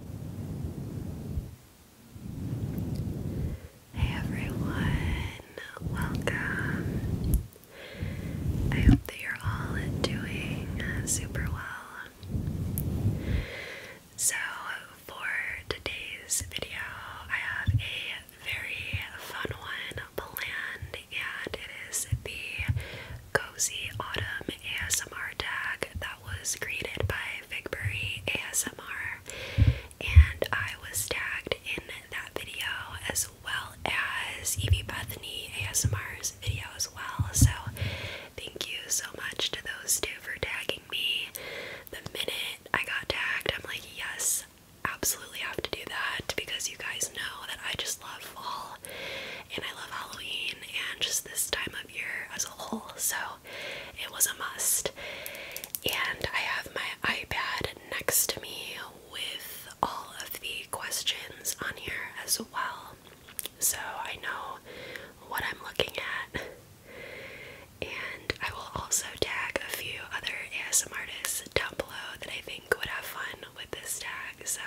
Hey everyone, welcome. I hope that you're all doing uh, super well. So, for today's video, I have a very fun one planned, and it is the Cozy Autumn ASMR tag that was created by Figbury ASMR, and I was tagged in that video as well as Evie Bethany ASMR's video as well. So, thank you so much to those two for tagging me. The minute I got tagged, I'm like, yes, absolutely have to do that because you guys know that I just love fall and I love Halloween and just this time of year as a whole, so it was a must. And I have my iPad next to me with all of the questions on here as well, so I know what I'm looking at. And I will also tag a few other ASMR artists down below that I think would have fun with this tag. So,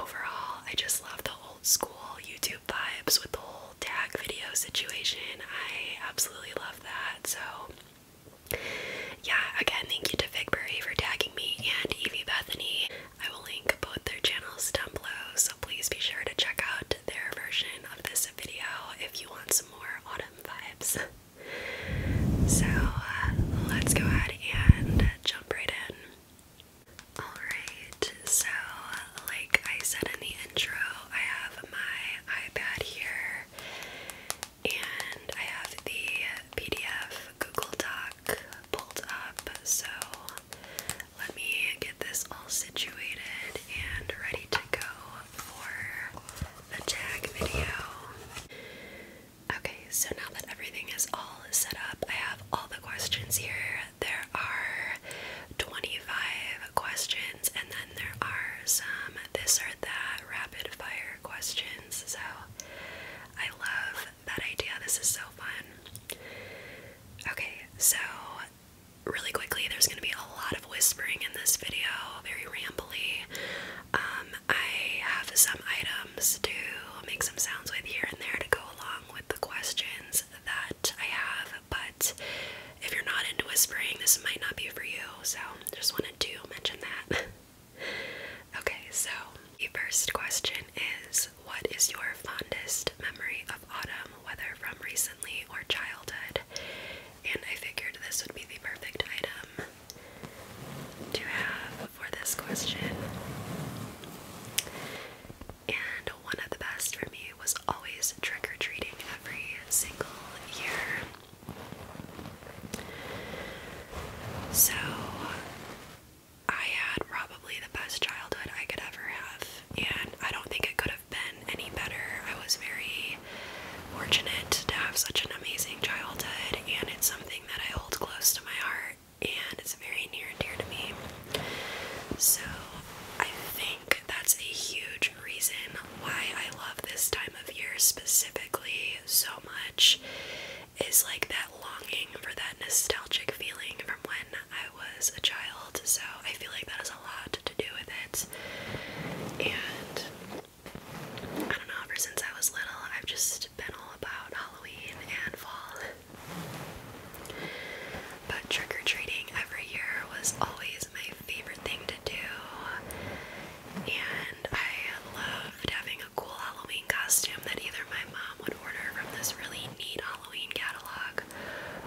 overall, I just love the old school YouTube vibes with the whole tag video situation. I absolutely love that. So, yeah, again, thank you to Figberry for tagging me and Evie Bethany. I will link both their channels down below, so please be sure to check out their version of this video if you want some more autumn vibes. so, uh, let's go ahead and jump right in. Alright, so like I said in the intro, I have my iPad here and I have the PDF Google Doc pulled up. So let me get this all situated and ready to go for the tag video. Okay, so now that everything is all set up, I have all the questions here there are 25 questions, and then there are some this or that rapid fire questions. So I love that idea. This is so fun. Okay, so really quickly, there's going to be a lot of whispering in this video, very rambly. Um, I have some items to make some sounds with here and there to go along with the questions that I have, but if you're not into whispering, this might not be for you. So just wanted to mention that. okay, so the first question is what is your fondest memory of autumn, whether from recently or childhood? And I figured this would be the perfect item to have for this question. And one of the best for me was always trick or treating every single year. So I had probably the best childhood I could ever have, and I don't think it could have been any better. I was very fortunate to have such an amazing childhood, and it's something that I hold close to my heart and it's very near and dear to me. So I think that's a huge reason why I love this time of year specifically so much is like that longing for that nostalgic feeling from when I was a child. So I feel like that has a lot to do with it. And I don't know, ever since I was little, I've just been all about Halloween and fall. But trick or treating every year was always my favorite thing to do, and I loved having a cool Halloween costume that either my mom would order from this really neat Halloween catalog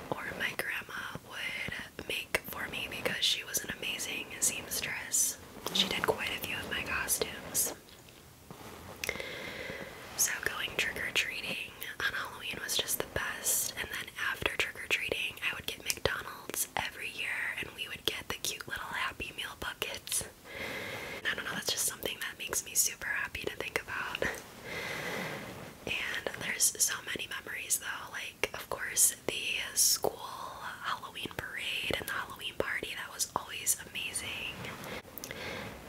or my grandma would make for me because she was an amazing seamstress. She did quite a few of my costumes. So going trick-or-treating on Halloween was just the best. And then after trick-or-treating, I would get McDonald's every year and we would get the cute little Happy Meal buckets. I don't know, that's just something that makes me super happy to think about. And there's so many memories though, like of course the school Halloween parade and the Halloween party, that was always amazing.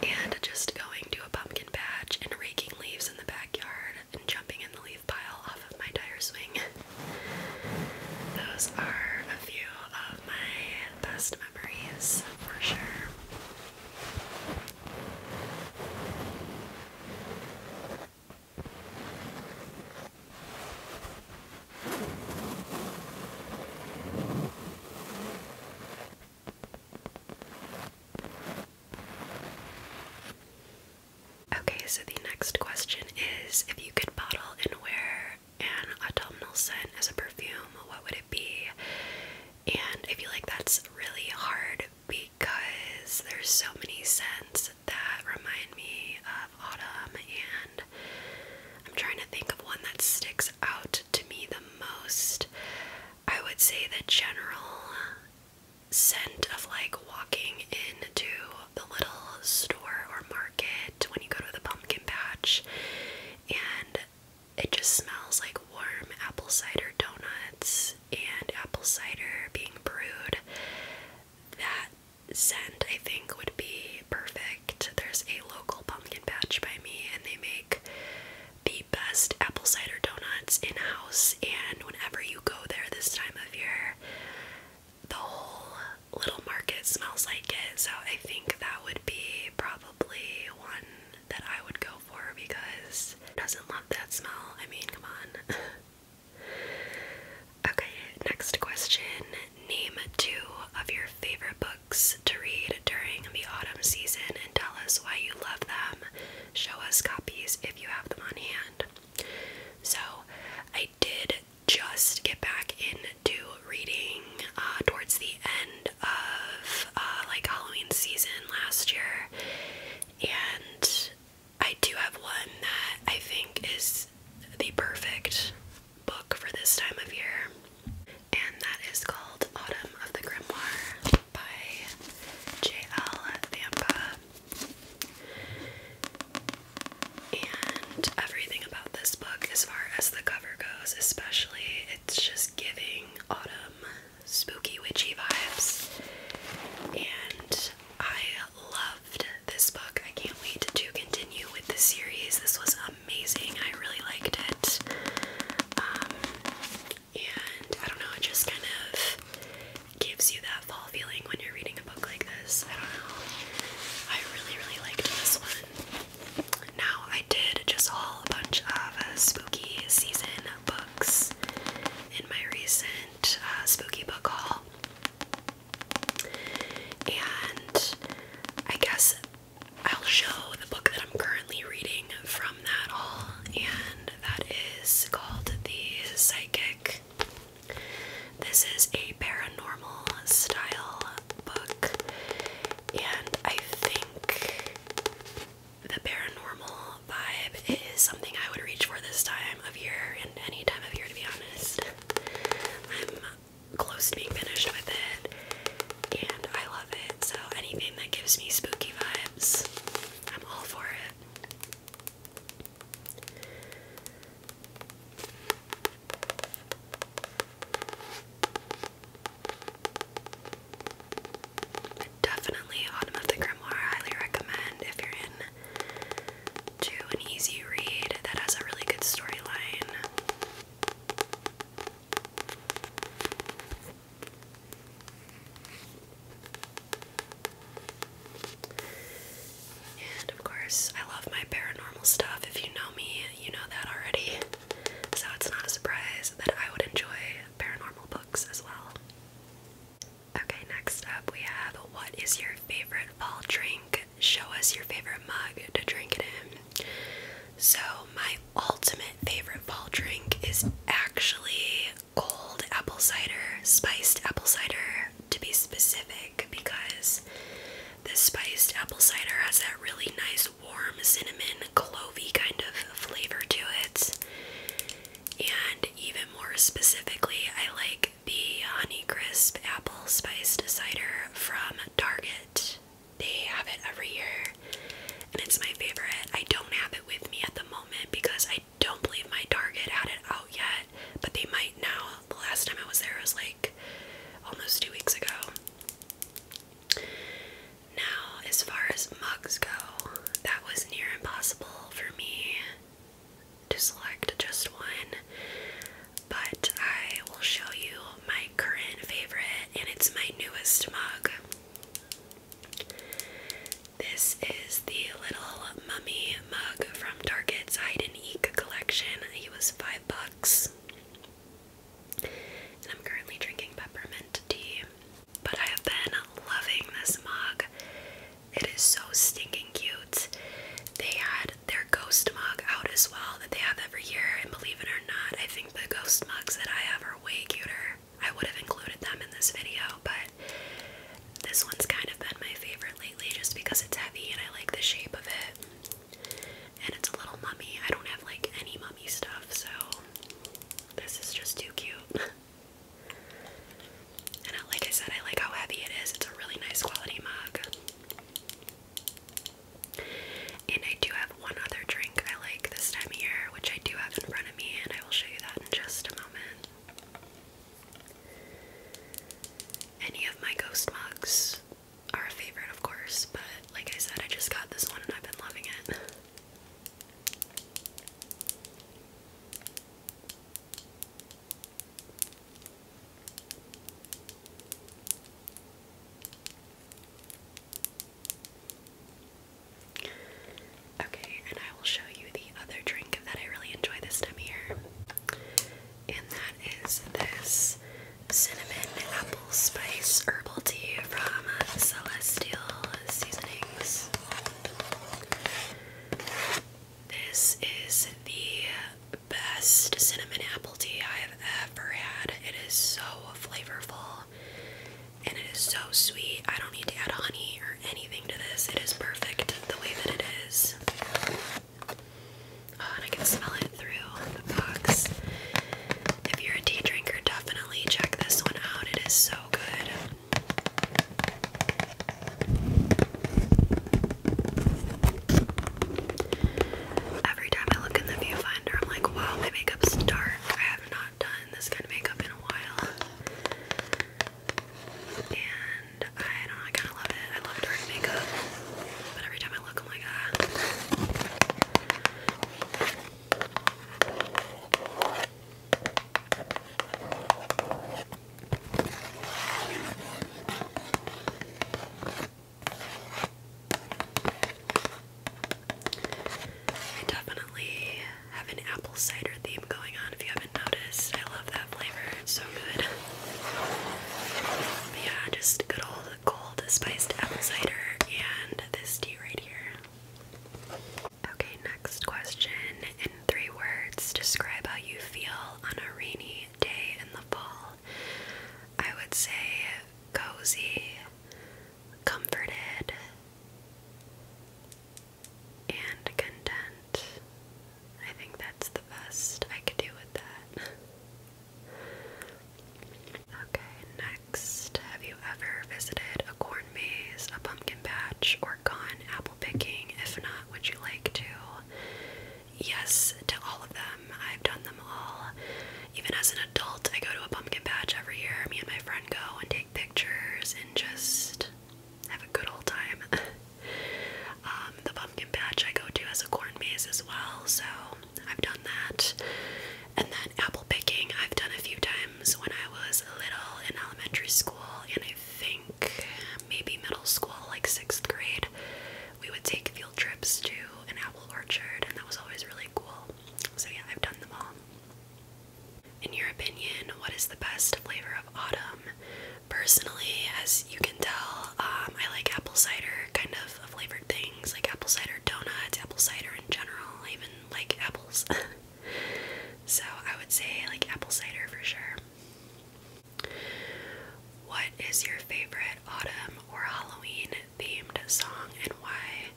And just going to a pumpkin patch and raking leaves in the backyard and jumping in the leaf pile off of my tire swing. Those are a few of my best memories for sure. Okay, so the next question is if you could bottle and wear an autumnal scent as a perfume, what would it be? And I feel like that's really hard because there's so many scents that remind me of autumn and I'm trying to think of one that sticks out to me the most, I would say the general scent of like walking into the little store or market when you go to the pumpkin patch and it just smells like warm apple cider donuts and apple cider being brewed. That scent I think would be perfect there's a local pumpkin patch by me, and they make the best apple cider donuts in house. And whenever you go there this time of year, the whole little market smells like it. So I think that would be probably one that I would go for because who doesn't love that smell? I mean, come on. okay, next question. Name two of your favorite books to read during the autumn season and tell us why you love them. Show us copies if you have them on hand. So, I did just get back into reading uh, towards the end of uh, like Halloween season last year, and I do have one that I think is the perfect book for this time of year, and that is called Autumn of the Grimoire by J.L. Vampa. And everything about this book, as far as the cover goes, especially, it's just giving autumn spooky witchy vibes. And I loved this book. I can't wait to continue with the series. This was amazing. I really liked it. Um, and I don't know, it just kind of gives you that fall feeling when you're reading a book like this. I don't know. I really, really liked this one. Now, I did just haul a bunch of uh, spooky season books in my recent uh, spooky book haul. And I guess I'll show the book that I'm currently reading from that haul, and that is called The Psychic. This is a paranormal style book, and I think the paranormal vibe is something I would reach for this time of year and any time of year, to be honest close to being finished with it, and I love it. So anything that gives me spooky vibes, I'm all for it. Definitely Autumn of the Grimoire, highly recommend if you're in an easy read that has a really good storyline. And of course, I love my paranormal stuff. If you know me, you know that already. So it's not a surprise that I would enjoy paranormal books as well. Okay, next up we have What is your favorite fall drink? Show us your favorite mug to drink it in. So, my ultimate favorite fall drink is actually cold apple cider, spiced apple cider to be specific, because this spiced apple cider has that really nice warm cinnamon clovey kind of flavor to it. And even more specifically, I like the Honeycrisp apple spiced cider from Target they have it every year and it's my favorite. I don't have it with me at the moment because I don't believe my Target had it out yet, but they might now. The last time I was there was like almost two weeks ago. Now, as far as mugs go, that was near impossible for me to select just one but I will show you my current favorite, and it's my newest mug. This is the Little Mummy mug from Target's Hide and Eek collection. It was five bucks. And I'm currently drinking peppermint tea. But I have been loving this mug. It is so stinking cute. They had had their ghost mug out as well that they have every year, and believe it or not, I think the ghost mugs that I have are way cuter. I would have included them in this video, but this one's kind of been my favorite lately just because it's heavy and I like the shape of it. And it's a little mummy. I don't have like any mummy stuff, so this is just too cute. and uh, like I said, I like how heavy it is. It's a really nice quality mug. And I do have one other drink I like this time of year, which I do have in front of me, and I will show you that in just a moment. Any of my ghost mugs are a favorite, of course, but like I said, I just got this one and I've been loving it. Okay, and I will show you the other drink that I really enjoy this time here. And that is this cinnamon apple spice herbal tea from Celestial Seasonings. This is the best cinnamon apple tea I have ever had. It is so flavorful and it is so sweet. I don't need to add honey or anything to this. It is perfect the way that it is. Oh, and I can smell it through the box. If you're a tea drinker, definitely check this one out. It is so good. Every time I look in the viewfinder, I'm like, wow, my makeup's dark. I have not done this kind of makeup in a while. And I don't I kind of love it. I love dark makeup. But every time I look, I'm like, ah. I definitely have an apple cider theme going on if you haven't noticed. I love that flavor, it's so good. yeah, just good old cold spiced apple cider and this tea right here. Okay, next question. In three words, describe how you feel on a rainy day in the fall. I would say cozy, comforted, and content. I think that's the best I could do with that. Okay, next. Have you ever visited a corn maze, a pumpkin patch, or gone apple picking? If not, would you like to? yes to all of them. I've done them all. Even as an adult, I go to a pumpkin patch every year. Me and my friend go and take pictures and just have a good old time. um, the pumpkin patch I go to has a corn maze as well, so I've done that. And then apple picking, I've done a few times when I was little in elementary school, and I think maybe middle school, like sixth grade. We would take trips to an apple orchard, and that was always really cool. So, yeah, I've done them all. In your opinion, what is the best flavor of autumn? Personally, as you can tell, um, I like apple cider kind of flavored things, like apple cider donuts, apple cider in general. even like apples. so I would say like apple cider for sure. What is your favorite autumn or Halloween themed song and why?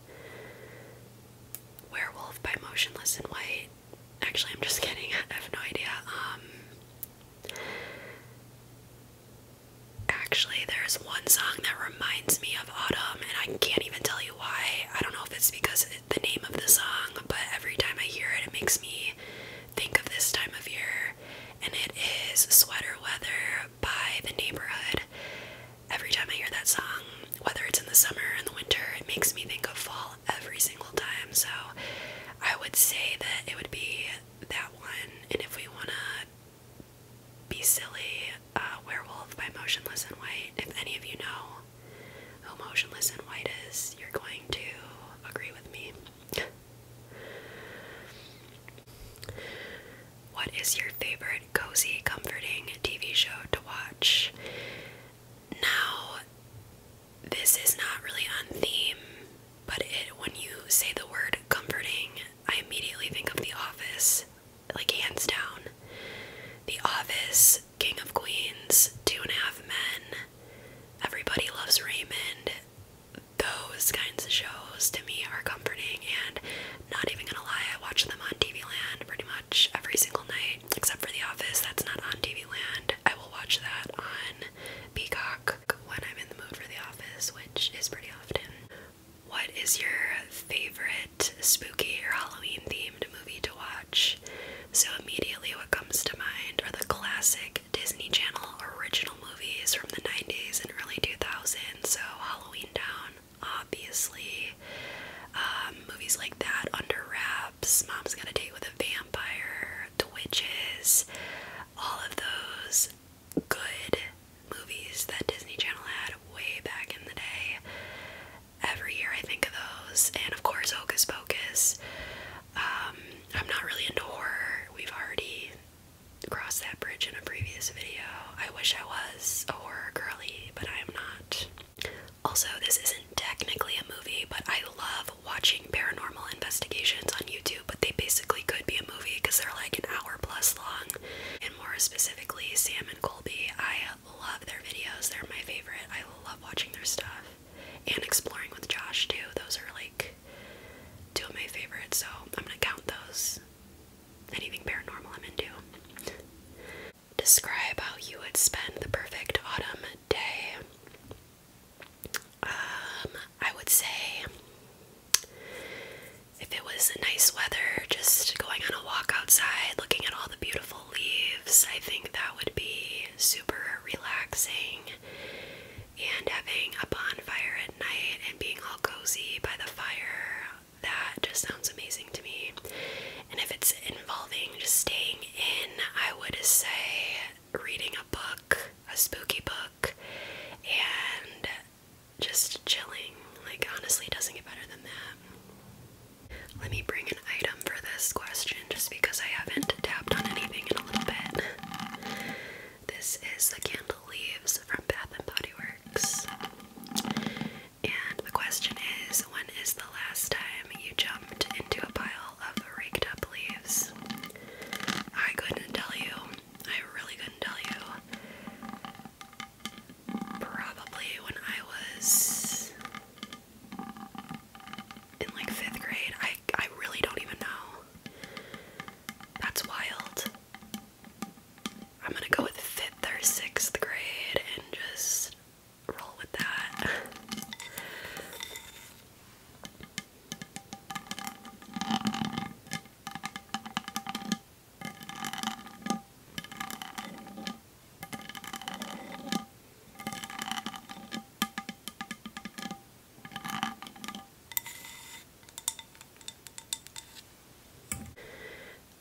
Werewolf by Motionless in White. Actually, I'm just kidding. I have no idea. Um Actually, there's one song that reminds me of autumn and I can't even tell you why. I don't know if it's because of the name of the song, but every time I hear it it makes me think of this time of year and it is Sweater Weather by The Neighborhood. Every time I hear that song, whether it's in the summer or in the winter, it makes me think of fall every single time. So I would say that it would be that one. And if we want to be silly, uh, Werewolf by Motionless in White. If any of you know who Motionless in White is, you're going to agree with me. What is your favorite cozy, comforting TV show to watch? Now, this is not really on theme, but when you say the word comforting, I immediately think of The Office, like hands down. The Office, King of Queens, Two and a Half Men, Everybody Loves Raymond, those kinds of shows to me are comforting and not even gonna lie, I watch them on TV Land pretty much every single night, except for The Office, that's not on TV Land. I will watch that on Peacock when I'm in the mood for The Office, which is pretty often. What is your favorite spooky or Halloween themed movie to watch? So, immediately, what comes to mind are the classic Disney Channel original movies from the 90s and early 2000s, so Halloween Down, obviously. Um, movies like that, Under Wraps, Mom's Got a Date with a Vampire, The Witches, all of those good movies that Disney Channel had way back in the day. Every year I think of those, and of course, Hocus Pocus. Um, I'm not really into horror. We've already Cross that bridge in a previous video. I wish I was a horror girly, but I am not. Also, this isn't technically a movie, but I love watching paranormal investigations on YouTube, but they basically could be a movie because they're like an hour plus long. And more specifically, Sam and Colby, I love their videos. They're my favorite. I love watching their stuff. And exploring with Josh too. Those are like like two of my favorites, so I'm gonna count those. Anything paranormal I'm into. Describe how you would spend the perfect autumn day. Um, I would say if it was nice weather, just going on a walk outside, looking at all the beautiful leaves, I think that would be super relaxing and having a bonfire at night and being all cozy by the fire that just sounds amazing to me and if it's involving just staying in i would say reading a book a spooky book and just chilling like honestly it doesn't get better than that let me bring an item for this question just because i haven't tapped on anything in a little bit this is the candle leaves from Bath and Body Works. And the question is, when is the last time you jumped into a pile of raked up leaves? I couldn't tell you. I really couldn't tell you. Probably when I was in like fifth grade. I I really don't even know. That's wild. I'm gonna go with fifth or sixth grade and just roll with that.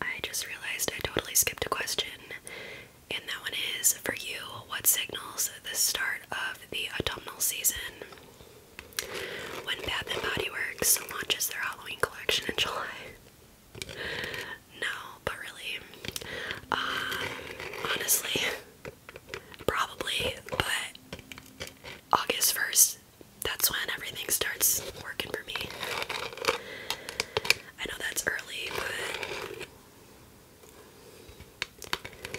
I just realized I totally skipped a question, and that one is for you what signals the start of the autumnal season? When Bath and Body Works launches their Halloween collection in July. No, but really, uh, honestly, Probably, but August 1st, that's when everything starts working for me. I know that's early, but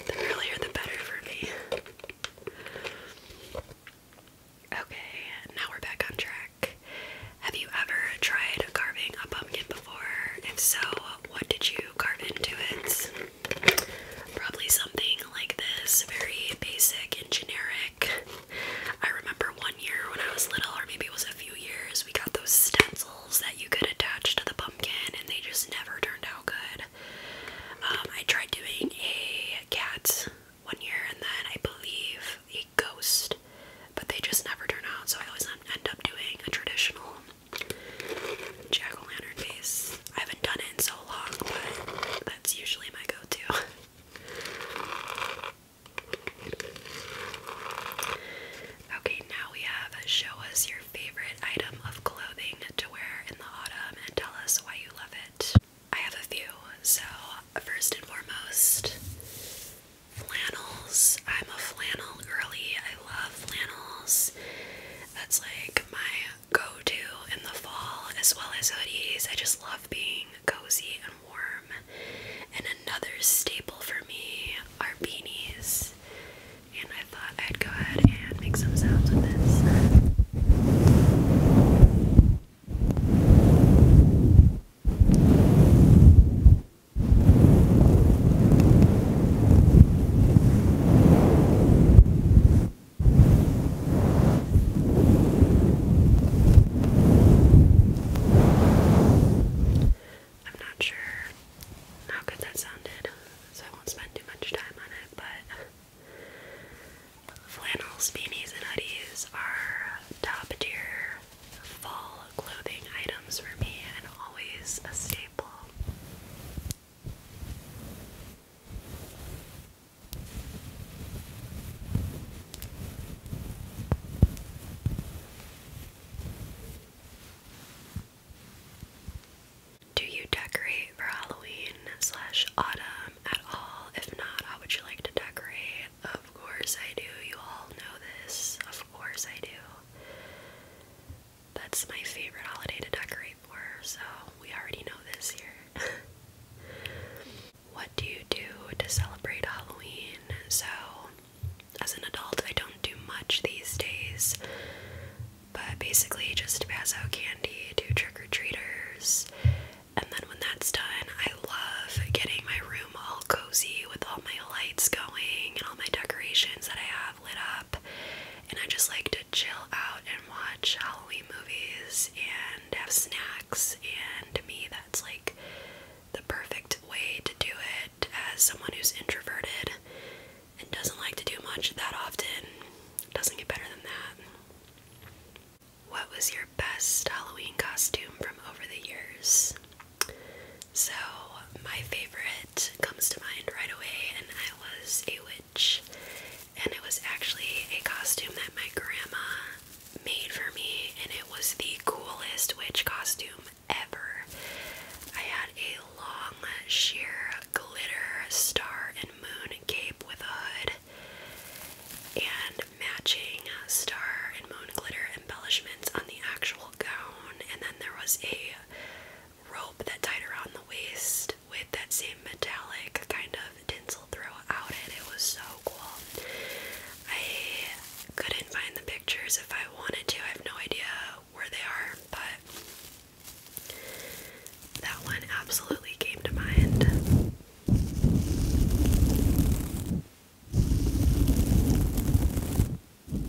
the earlier the better for me. Okay, now we're back on track. Have you ever tried carving a pumpkin before? If so, what did you carve into it? Probably something like this, very basic and generic. I remember one year when I was little, or maybe it was a few years, we got those stencils that you could attach to the pumpkin, and they just never turned out good. Um, I tried doing a cat one year, and then I believe a ghost, but they just never turn out, so I always end up doing a traditional jack lantern base. I haven't done it in so long, but that's usually my go to. okay, now we have show us your favorite item of clothing to wear in the autumn and tell us why you love it. I have a few, so first and foremost, flannels. I'm a flannel girly. I love flannels. That's like my go-to in the fall as well as hoodies. I just love being cozy and warm. And another staple for me are beanies. And I thought I'd go ahead and make some sounds with this. I'm not sure how good that sounded, so I won't spend too much time on it, but flannels, beanies, and hoodies are top tier fall clothing items for me and always a staple. Do you decorate for Halloween slash autumn at all? If not, how would you like to decorate? Of course I do. You all know this. Of course I do. That's my favorite holiday to decorate for, so we already know this year. what do you do to celebrate Halloween? So, as an adult, I don't do much these days, but basically just pass out candy to trick or treaters. And then when that's done, I love getting my room all cozy with all my lights going and all my decorations that I have lit up and I just like to chill out and watch Halloween movies and have snacks. And to me, that's like the perfect way to do it as someone who's introverted and doesn't like to do much that often. doesn't get better than that. What was your best Halloween costume from over the years? So, my favorite comes to mind right away, and I was a witch. And it was actually a costume that my grandma made for me, and it was the coolest witch costume ever. I had a long, sheer glitter star and moon cape with a hood and matching star and moon glitter embellishments on the actual gown, and then there was a rope that tied around the waist with that same metallic kind of tinsel throw out, and It was so cool. I couldn't find the pictures if I wanted to. I have no idea where they are, but that one absolutely came to mind. And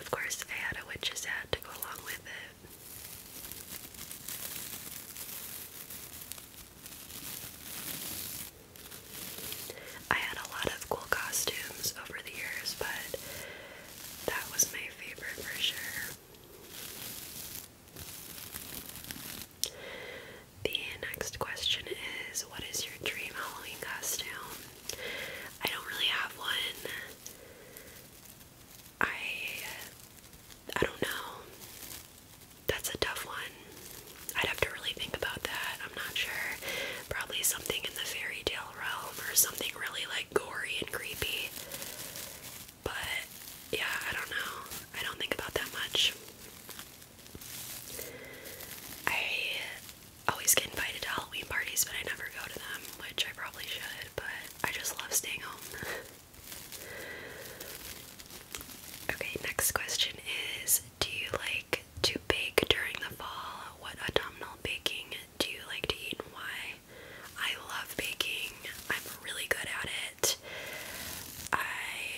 of course, I had a witch's hat to go along with it. I had a lot of cool costumes over the years, but that was my favorite for sure. The next question is What is your dream Halloween costume? I don't really have one. I I don't know. That's a tough one. I'd have to really think about that. I'm not sure. Probably something in the fairy tale realm or something really like gory and creepy. But yeah, I don't know. I don't think about that much. I always get invited to Halloween parties, but I never go to them, which I probably should, but I just love staying home. okay, next question is Do you like to bake during the fall? What autumnal baking do you like to eat and why? I love baking, I'm really good at it. I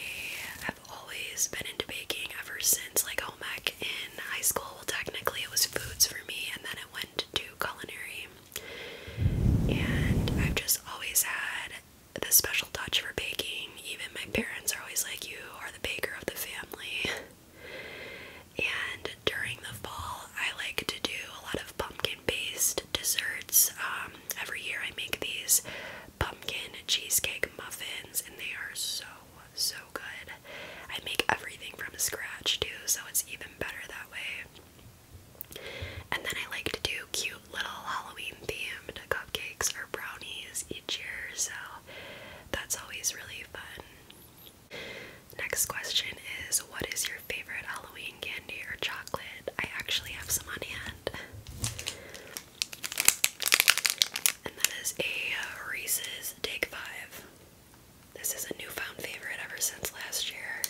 have always been into baking ever since like home ec in high school. Well, technically it was foods for me, and then it went to culinary. And I've just always had the special touch for baking. Even my parents are always like, "You are the baker of the family." And during the fall, I like to do a lot of pumpkin-based desserts. Um, every year, I make these pumpkin cheesecake muffins, and they are so, so good. I make everything from scratch too, so it's even better that way. And then I like to do cute little Halloween themed cupcakes or brownies each year, so that's always really fun. Next question is What is your favorite Halloween candy or chocolate? I actually have some on hand. And that is a uh, Reese's Take Five. This is a newfound favorite ever since last year.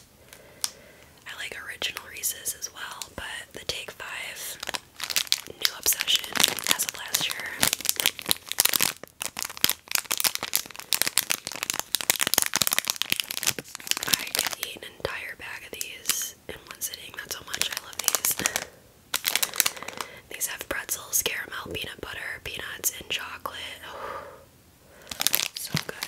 I like original Reese's as well, but the Take Five, new obsession as of last year. I can eat an entire bag of these in one sitting. That's how much I love these. these have pretzels, caramel, peanut butter, peanuts, and chocolate. so good.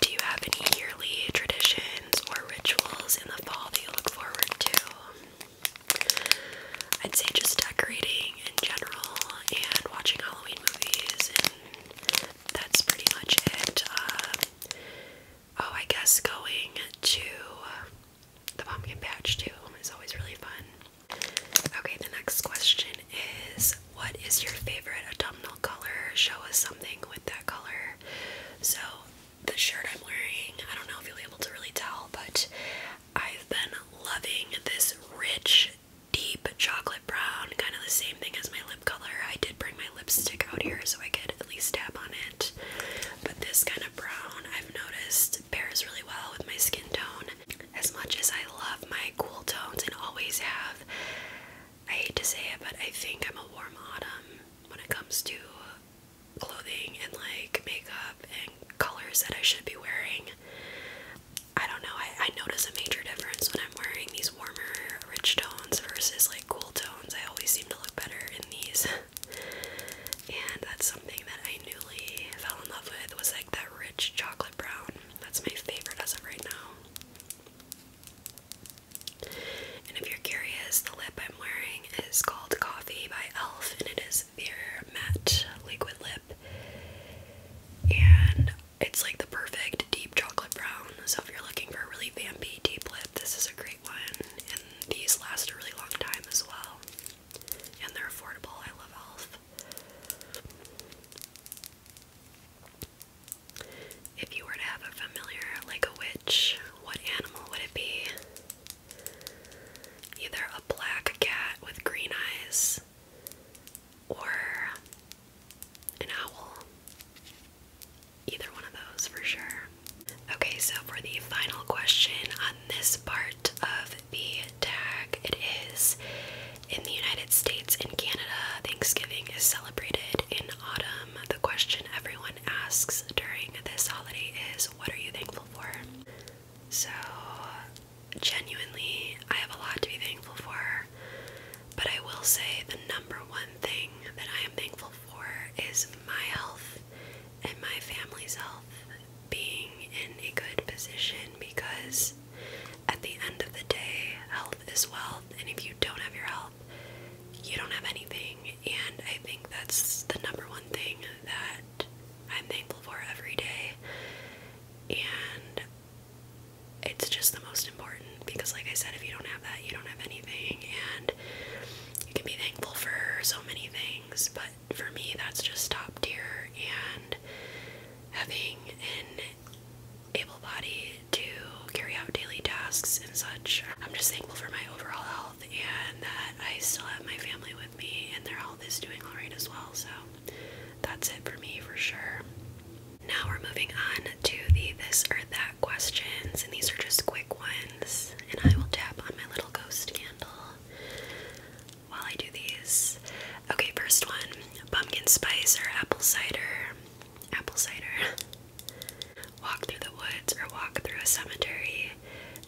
Do you have any yearly traditions or rituals in the fall that you look forward to? I'd say just decorating in general and watching Halloween movies, and that's pretty much it. Uh, oh, I guess going to the pumpkin patch too is always really fun. Okay, the next question is What is your favorite autumnal color? Show us something with that color. So, the shirt I'm wearing, I don't know if you'll be able to really tell, but I've been loving this rich, deep chocolate brown, kind of the same thing as my lip color. I did bring my lipstick out here so I could at least tap on it, but this kind of brown I've noticed pairs really well with my skin tone. As much as I love my cool tones and always have, I hate to say it, but I think I'm a warm autumn when it comes to clothing and like makeup and colors that I should be wearing. I don't know, I, I notice a major difference when I'm wearing these warmer, rich tones versus like cool tones. I always seem to look better in these. and that's something that I newly fell in love with was like that rich chocolate brown. That's my favorite as of right now. And if you're curious, the lip I'm wearing is called Coffee by e.l.f. and it is their matte liquid lip. And it's like the perfect deep chocolate brown. So if you're looking for a really vampy deep lip, this is a great one. And these last a really long time as well. And they're affordable. I love e.l.f. If you were to have a familiar like a witch, what animal would it be? Either a black cat with green eyes or an owl. Either one of those for sure. Okay, so for the final question on this part of the tag, it is in the United States and Canada, Thanksgiving is celebrated in autumn. The question everyone asks during this holiday is what are you thankful for? So, genuinely, I have a lot to be thankful for, but I will say the number one thing that I am thankful for is my health and my family's health being in a good position because at the end of the day, health is wealth, and if you don't have your health, you don't have anything. And I think that's the number one thing that I'm thankful for every day. And it's just the most important because, like I said, if you don't have that, you don't have anything. And you can be thankful for so many things, but for me, that's just top tier. And having an able body to carry out daily tasks and such, I'm just thankful for my overall health and that I still have my family with me and their health is doing alright as well. So that's it for me for sure. Now we're moving on to the this or that questions, and these are just quick ones. And I will tap on my little ghost candle while I do these. Okay, first one pumpkin spice or apple cider? Apple cider. walk through the woods or walk through a cemetery.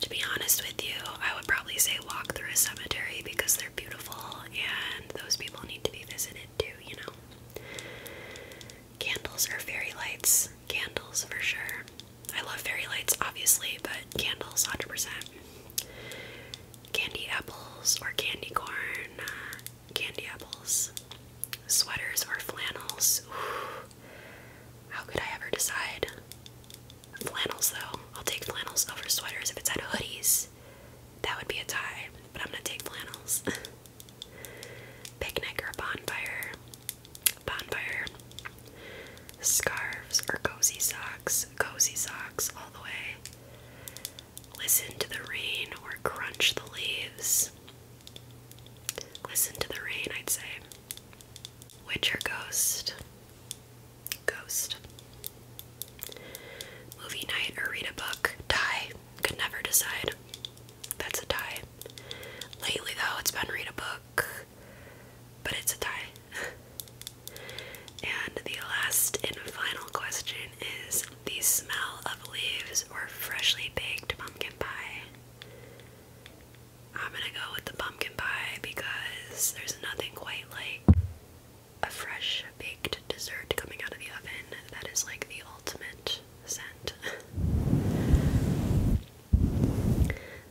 To be honest with you, I would probably say walk through a cemetery because they're beautiful and those people need to be visited too, you know. Candles or fairy lights? Candles for sure. I love fairy lights, obviously, but candles 100%. Candy apples or candy corn? Uh, candy apples. Sweaters or flannels? How could I ever decide? Flannels though. I'll take flannels over sweaters. If it's out of hoodies, that would be a tie, but I'm gonna take flannels. Picnic or bonfire. Bonfire. Scarves or cozy socks. Cozy socks all the way. Listen to the rain or crunch the leaves. Listen to the rain, I'd say. Witch or Ghost? Ghost. Movie night or read a book? Tie. Could never decide. That's a tie. Lately, though, it's been read a book, but it's a tie. and the last and final question is the smell of leaves or freshly baked pumpkin pie. I'm gonna go with the pumpkin pie because there's nothing quite like a fresh baked dessert coming out of the oven that is like the ultimate scent.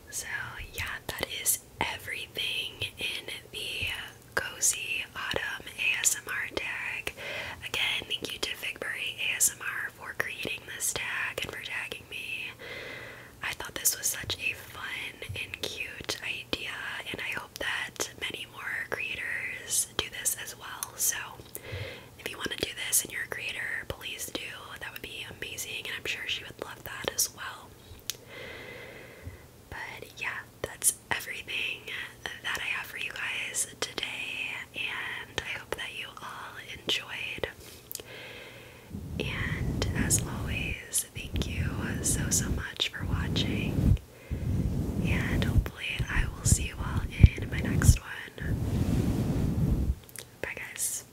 so, yeah, that is everything in the cozy autumn ASMR tag. Again, thank you to Figberry ASMR for creating this tag and for tagging me. I thought this was such a fun and cute idea, and I hope that many more creators do this as well. So, if you want to do this and you're a creator, please do. That would be amazing, and I'm sure she would love that as well. But yeah, that's everything that I have for you guys today, and I hope that you all enjoyed. And as always, thank you so so much for watching, and hopefully, I will see you all in my next one. Bye, guys.